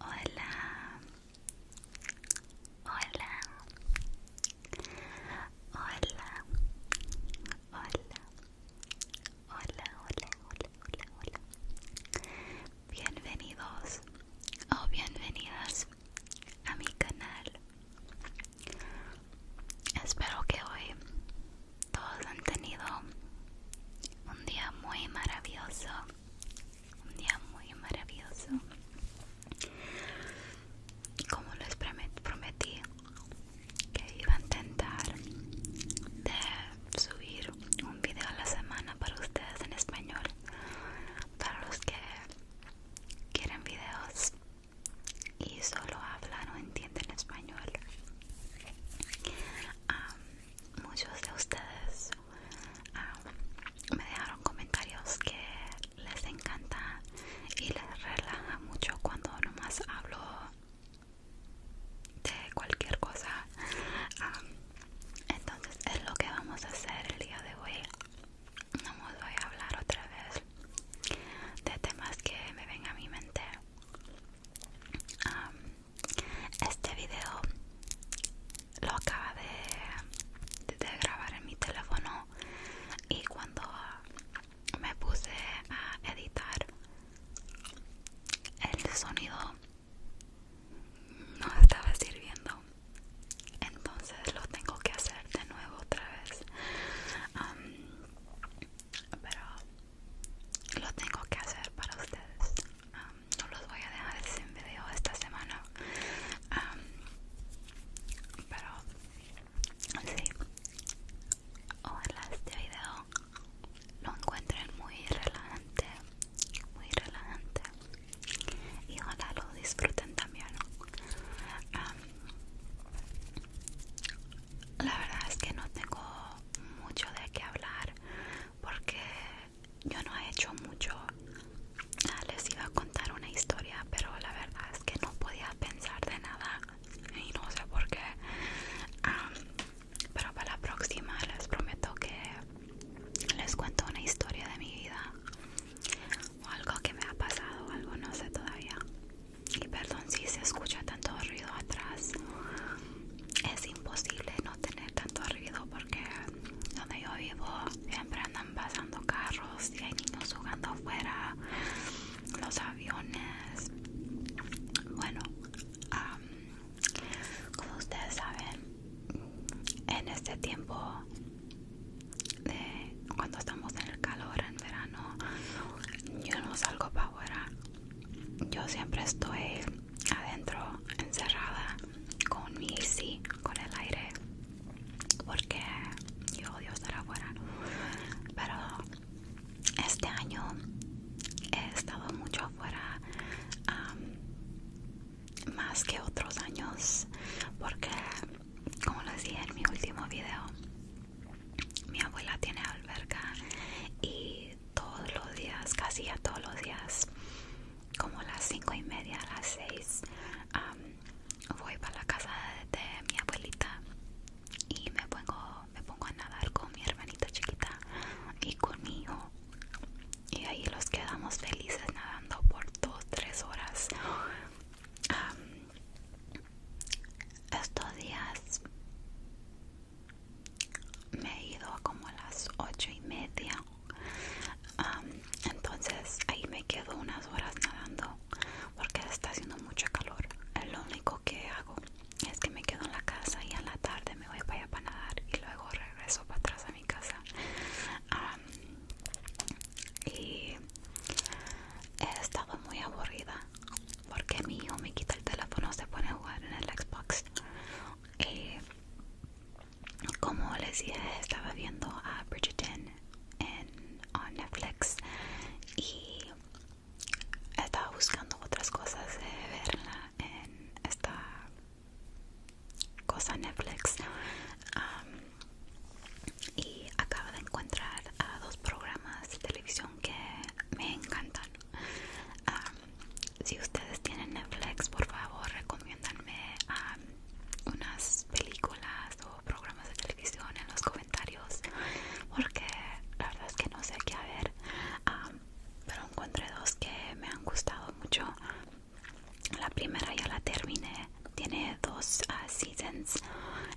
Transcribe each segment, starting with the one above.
Hola. Hola. Hola. Hola. Hola, hola, hola, hola, hola. Bienvenidos o bienvenidas a mi canal. Espero que hoy todos han tenido un día muy maravilloso un día muy maravilloso y como les prometí que iba a intentar de subir un video a la semana para ustedes en español para los que quieren videos y solo hablan o entienden español muchos de ustedes Ah, me dejaron comentarios que les encanta y les relaja mucho cuando nomás hablo de cualquier cosa. Ah, entonces es lo que vamos a hacer el día de hoy. No voy a hablar otra vez de temas que me ven a mi mente. Ah, este video lo acaba de, grabar en mi teléfono y cuando me puse a editar el sonido no estaba sirviendo entonces lo tengo que hacer de nuevo otra vez pero lo tengo que hacer para ustedes Um, no los voy a dejar sin video esta semana um, pero sí ojalá este video lo encuentren muy relajante muy relajante y ojalá lo disfruten también um, la verdad es que no tengo mucho de qué hablar porque yo no he hecho mucho. Ah, les iba a contar una historia, pero la verdad es que no podía pensar de nada y no sé por qué. Ah, pero para la próxima les prometo que les cuento una historia de mi vida o algo que me ha pasado, algo no sé todavía. Y perdón si se escucha tanto ruido atrás es imposible no tener tanto ruido porque donde yo vivo siempre andan pasando carros y hay niños jugando afuera, los aviones. Bueno, como ustedes saben, en este tiempo de cuando estamos en el calor en verano, yo no salgo para afuera yo siempre estoy adentro encerrada con mi sí con el aire porque yo odio estar afuera pero este año he estado mucho afuera más que otros años porque como les dije en mi último video mi abuela tiene alberca y todos los días, casi a todos los días, como las cinco y media, a las seis, voy para la casa de, mi abuelita y me pongo, me pongo a nadar con mi hermanita chiquita y con mi hijo. Y ahí los quedamos felices nadando por dos, tres horas. estos días me he ido como a las ocho y media entonces ahí me quedo unas horas nadando porque está haciendo mucho calor lo único que hago es que me quedo en la casa y a la tarde me voy para allá para nadar y luego regreso para atrás a mi casa y he estado muy aburrida porque mi hijo me quita el teléfono, se pone a jugar en el Xbox. y eh, como les dije, estaba viendo a Bridgerton en Netflix y estaba buscando otras cosas de verla en esta cosa Netflix. y acaba de encontrar a dos programas de televisión que me encantan. si ustedes tienen Netflix, por favor, recomiendanme unas películas o programas de televisión en los comentarios, porque la verdad es que no sé qué ver. pero encontré dos que me han gustado mucho. La primera ya la terminé, tiene dos ah, seasons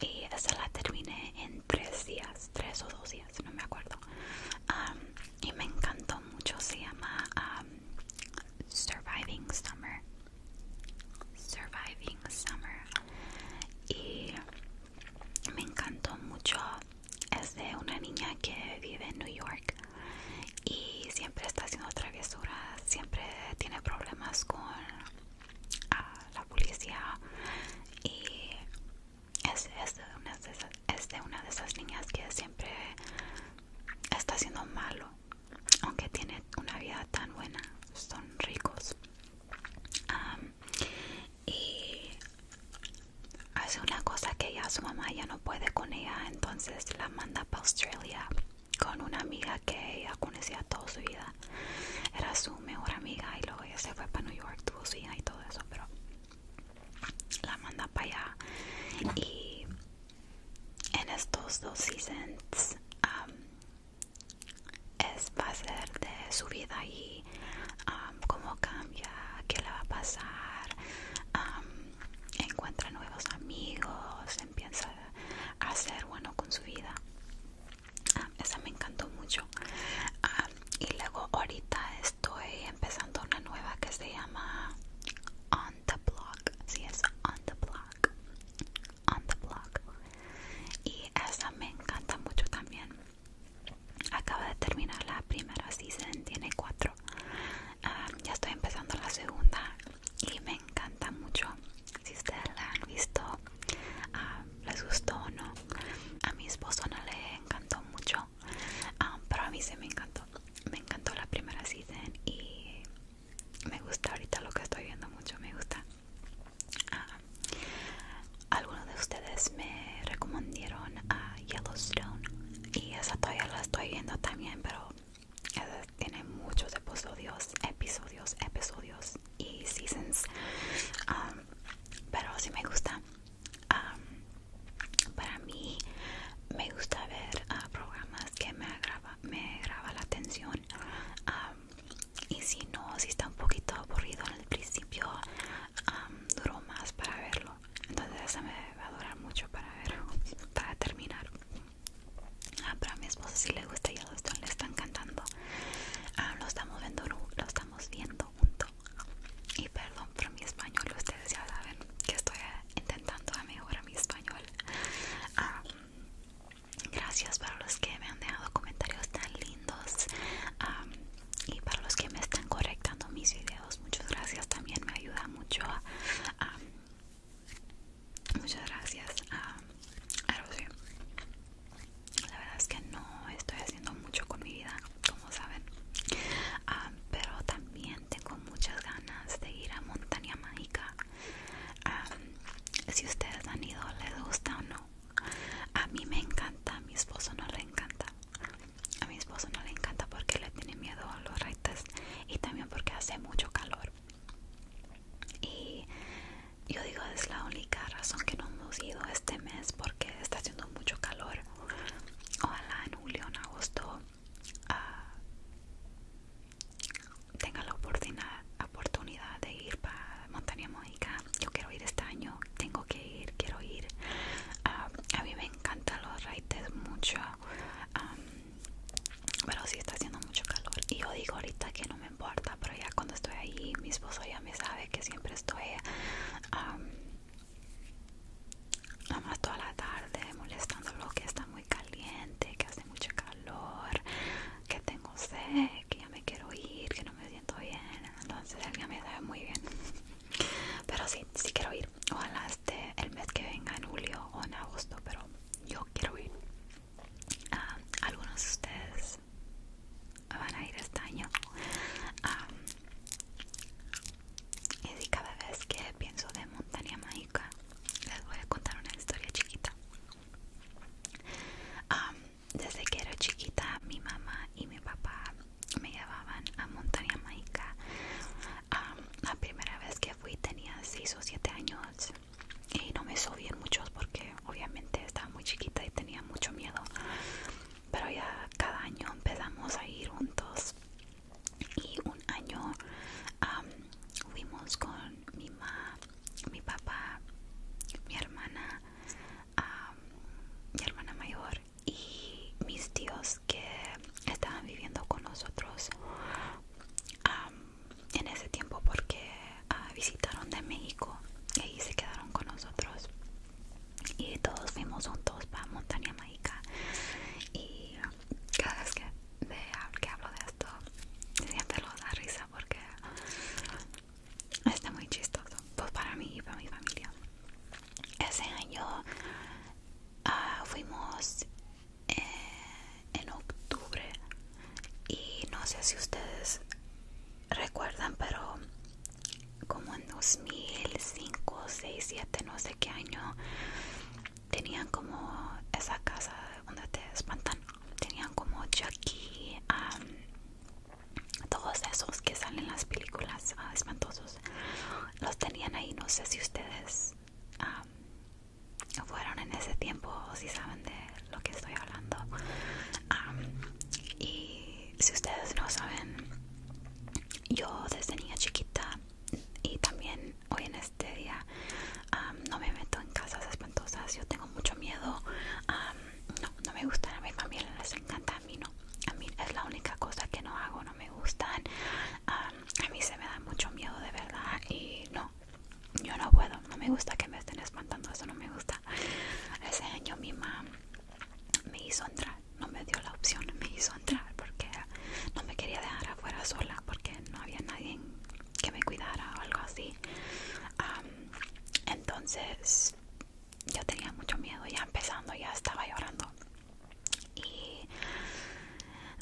y esa la terminé en tres días, tres o dos no me acuerdo. Um, y me encantó mucho, se llama um, Surviving Summer. Surviving Summer. Y me encantó mucho. Es de una niña que vive en New York y siempre está haciendo travesuras, siempre tiene problemas con a la policía y es, de una de esas, niñas que siempre está haciendo malo aunque tiene una vida tan buena son ricos y hace una cosa que ya su mamá ya no puede con ella entonces la manda para Australia con una amiga que ella conocía toda su vida era, su mejor amiga y luego ella se fue para New York, tuvo su hija y todo eso, pero la manda para allá y en estos dos seasons um, es, va a ser de su vida y um, cómo cambia, qué le va a pasar, um, encuentra nuevos amigos, empieza a ser bueno con su vida esa me encantó mucho. Ah, y luego ahorita estoy empezando una nueva que se llama On the Block. Sí, es On the Block. On the Block. Y esa me encanta mucho también. Acaba de terminar la primera season, tiene cuatro. Ah, ya estoy empezando la segunda y me encanta mucho si ustedes la han visto ah, les gustó o no a mi esposo no le encantó mucho ah, pero a mí sí me encantó me encantó la primera season y me gusta ahorita lo que estoy viendo mucho me gusta ah, algunos de ustedes me recomendaron a Yellowstone y esa todavía la estoy viendo también pero tiene muchos episodios, episodios, episodios y seasons um, pero si me gusta um, para mí me gusta ver ah, programas que me agrava, me la atención um, y si no, si está un poquito aburrido en el principio duro duró más para verlo entonces eso me va a durar mucho para ver para terminar Ah, pero mi esposa si le gusta y a le están cantando. Ah, lo estamos viendo, lo estamos viendo junto. Y perdón por mi español, ustedes ya saben que estoy eh, intentando mejorar mi español. Ah, gracias para los que me han dejado comentarios tan lindos ah, y para los que me están correctando mis videos muchas gracias también me ayuda mucho a, muchas gracias a, La verdad es que no estoy haciendo mucho con mi vida, como saben. Ah, pero también tengo muchas ganas de ir a Montaña Mágica. Ah, si ustedes han ido, les gusta o no. A mí me encanta, a mi esposo no le encanta. A mi esposo no le encanta porque le tiene miedo a los reites y también porque hace mucho calor y yo digo es la única razón que no hemos ido este mes porque está haciendo mucho calor ojalá en julio en agosto ah, tenga la oportunidad, de ir para montaña mágica yo quiero ir este año tengo que ir quiero ir ah, a mí me encantan los raíces mucho pero sí está haciendo mucho calor y yo digo ahorita que no me importa pero ya cuando estoy ahí mi esposo ya me sabe que siempre estoy nada más toda la tarde molestándolo que está muy caliente que hace mucho calor que tengo sed que ya me quiero ir que no me siento bien entonces él ya me sabe muy bien pero sí sí quiero ir ojalá este el mes que venga en julio o en agosto pero yo quiero ir Ah, algunos de ustedes van a ir este año ah, y cada vez que pienso de montaña mágica les voy a contar una historia chiquita ah, desde que era chiquita mi mamá y mi papá me llevaban a montaña mágica la primera vez que fui tenía 6 o 7 años y no me subí en muchos porque obviamente estaba muy chiquita y tenía mucho miedo pero ya cada año empezamos a ir juntos y un año fuimos con mi mamá mi papá mi hermana mi hermana mayor y mis tíos que estaban viviendo con nosotros en ese tiempo porque ah, visitaron de México y ahí se quedaron con nosotros y todos fuimos juntos para Montaña Mágica y cada vez que, hablo de esto siempre lo da risa porque está muy chistoso pues para mí y para mi familia ese año ah, fuimos eh, en octubre y no sé si ustedes recuerdan pero como en 2005 6 7 no sé qué año tenían como esa casa donde te espantan tenían como Jackie todos esos que salen las películas ah, espantosos los tenían ahí no sé si ustedes fueron en ese tiempo, si saben de lo que estoy hablando. y si ustedes no saben, yo desde niña chiquita y también hoy en este día no me meto en casas espantosas. Yo tengo mucho miedo. no, no me gustan a mi familia, les encanta a mí, no. A mí es la única cosa que no hago, no me gustan. a mí se me da mucho miedo de verdad y no, yo no puedo, no me gusta que me estén espantando, eso no me gusta. Ese año mi mamá me hizo entrar, no me dio la opción, me hizo entrar porque no me quería dejar afuera sola porque no había nadie que me cuidara o algo así. entonces yo tenía mucho miedo, ya empezando, ya estaba llorando. Y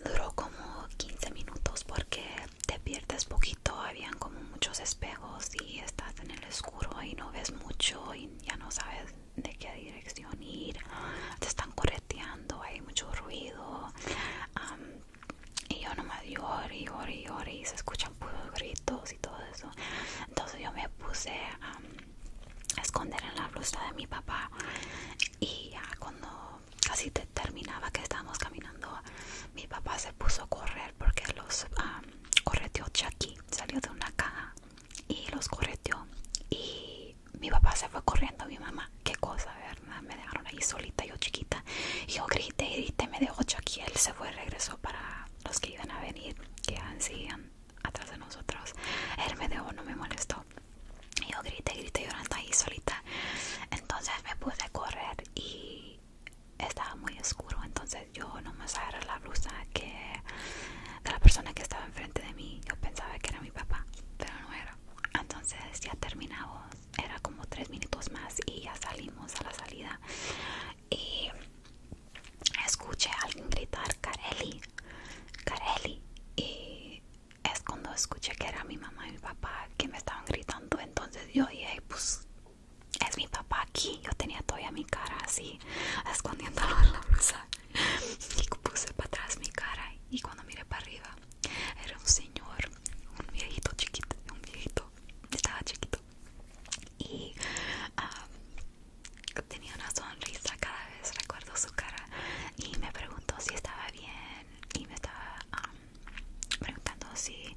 duró como 15 minutos porque te pierdes poquito habían como muchos espejos y estás en el oscuro y no ves mucho y ya no sabes de qué dirección ir te están correteando hay mucho ruido y yo nomás lloré y ori y se escuchan puros gritos y todo eso entonces yo me puse a esconder en la blusa de mi papá y ya cuando casi te terminaba que estábamos caminando, mi papá se puso a correr porque los correteó Chucky, salió de una caja y los correteó. Y mi papá se fue corriendo, mi mamá, qué cosa, ¿verdad? Me dejaron ahí solita, yo chiquita. yo grité, grité, me dejó Chucky, él se fue, regresó para los que iban a venir, que atrás de nosotros. Él me dejó, no me molestó yo yo grité, grité, llorando ahí solita entonces me puse a correr y estaba muy oscuro entonces yo no me agarré la blusa que de la persona que estaba enfrente de mí yo pensaba que era mi papá pero no era entonces ya terminamos era como tres minutos más y ya salimos a la salida y escuché a alguien gritar Careli Careli y es cuando escuché que era mi mamá y mi papá que me estaban gritando. Entonces yo dije, pues es mi papá aquí. Yo tenía todavía mi cara así, escondiéndolo en la blusa. Y puse para atrás mi cara. Y cuando miré para arriba, era un señor, un viejito chiquito, un viejito, estaba chiquito. Y ah, tenía una sonrisa cada vez, recuerdo su cara y me preguntó si estaba bien y me estaba preguntando si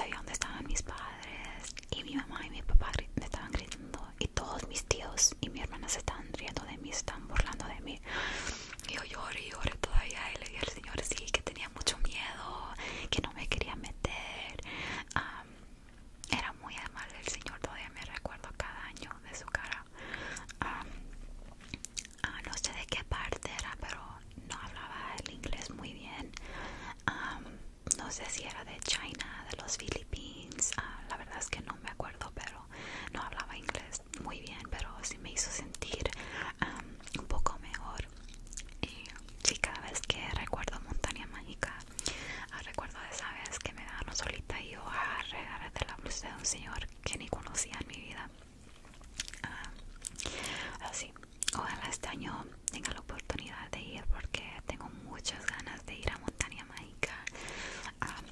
sabía dónde estaban mis padres y mi mamá y mi papá me estaban gritando y todos mis tíos y mi hermana se estaban riendo de mí, se estaban burlando de mí y yo lloré y lloré todavía y le dije al señor sí, que tenía mucho miedo, que no me quería meter era muy mal el señor, todavía me recuerdo cada año de su cara Ah, ah, no sé de qué parte era, pero no hablaba el inglés muy bien. no sé si era de China, de los Philippines. Ah, la verdad es que no me acuerdo, pero no hablaba inglés muy bien, pero sí me hizo sentir un poco mejor. Y cada vez que recuerdo Montaña Mágica, Ah, recuerdo de esa vez que me daban solita y yo a ah, regalarte la luz de un señor que ni conocía en mi vida. así, ah, ojalá este año tenga la oportunidad de ir porque tengo muchas ganas de ir a Montaña Mágica.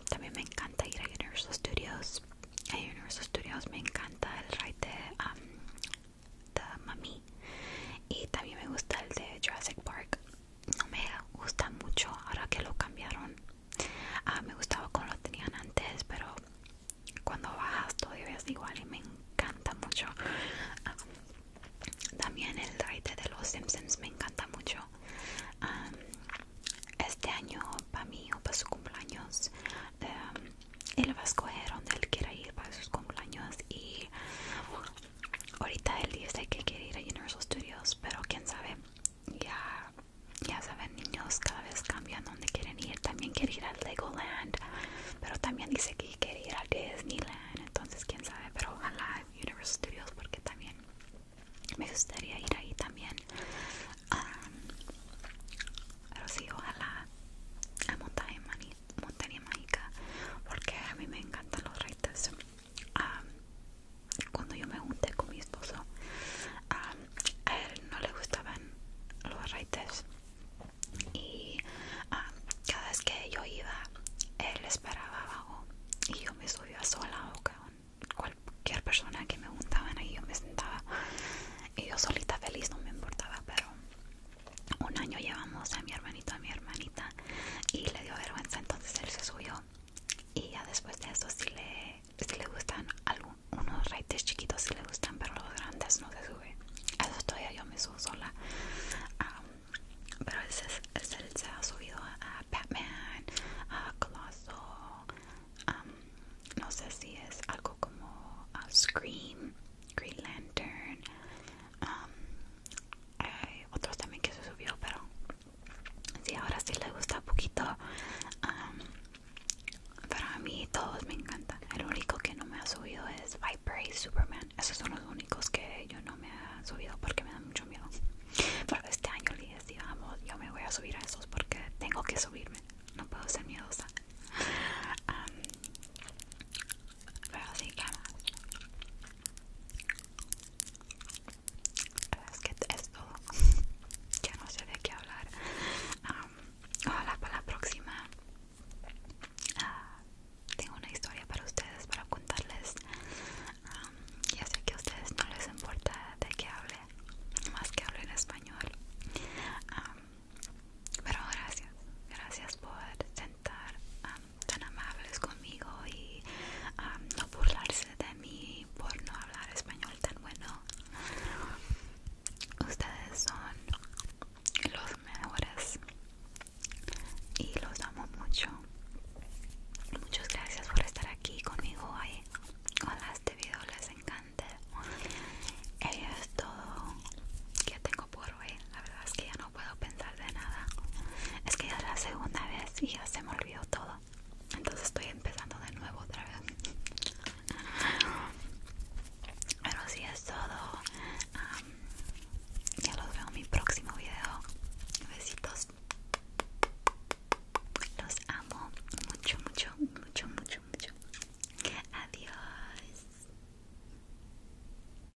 también me encanta ir a Universal Studios. A Universal Studios me encanta el ride de, The de Mami y también me gusta el de Jurassic Park no me gusta mucho ahora que lo cambiaron. Ah, me gustaba como lo tenían antes, pero cuando bajas todavía es igual y me encanta mucho. Ah, también el raite de los Simpsons me encanta mucho. Ah, este año, para mí o para su cumpleaños, él eh, va a escoger donde él quiera ir para sus cumpleaños y ahorita él dice que quiere ir a Universal Studios, pero quién sabe, ya, ya saben niños cada vez cambian donde quieren ir, también quiere ir a Legoland, pero también dice que quiere ir a Disneyland, entonces quién sabe, pero ojalá Universal Studios porque también me gustaría ir ahí también. pero sí, ojalá a Montaña, Montaña Mágica, porque a mí me encantan los reitos cuando yo me junté con mi esposo, a él no le gustaban los raites y cada vez que yo iba, él esperaba abajo y yo me subía sola o con cualquier persona que me juntaban ahí yo me sentaba y yo solita feliz no me importaba, pero un año llevamos a mi hermanito a mi hermanita y le dio vergüenza entonces él se subió y ya después de eso si le, le gustan algunos unos reites chiquitos si le gustan pero los grandes no se sube eso todavía yo me subo sola um, pero ese, se ha subido a Batman a Coloso um, no sé si es algo como a uh, Scream Green Lantern um, hay eh, otros también que se subió pero si ahora sí le gusta poquito um, para pero a mí todos me encantan el único que no me ha subido es Viper y Superman esos son los únicos que yo no me ha subido porque me da mucho miedo pero este año les yo me voy a subir a esos porque tengo que subirme no puedo ser miedosa um, pero es que es todo ya no sé de qué hablar ojalá para la próxima ah, tengo una historia para ustedes para contarles Y ya sé que a ustedes no les importa de qué hable más que hable en español pero gracias gracias por sentar tan amables conmigo y no burlarse de mí por no hablar español tan bueno. Ustedes son los mejores y los amo mucho. Muchas gracias por estar aquí conmigo hoy. con este video les encanta. Eso es todo que tengo por hoy. La verdad es que ya no puedo pensar de nada. Es que ya es la segunda vez y ya se me olvidó todo. Entonces estoy empezando de nuevo otra vez. Pero si sí es todo. ya los veo en mi próximo video. Besitos. Los amo mucho, mucho, mucho, mucho, mucho. Adiós.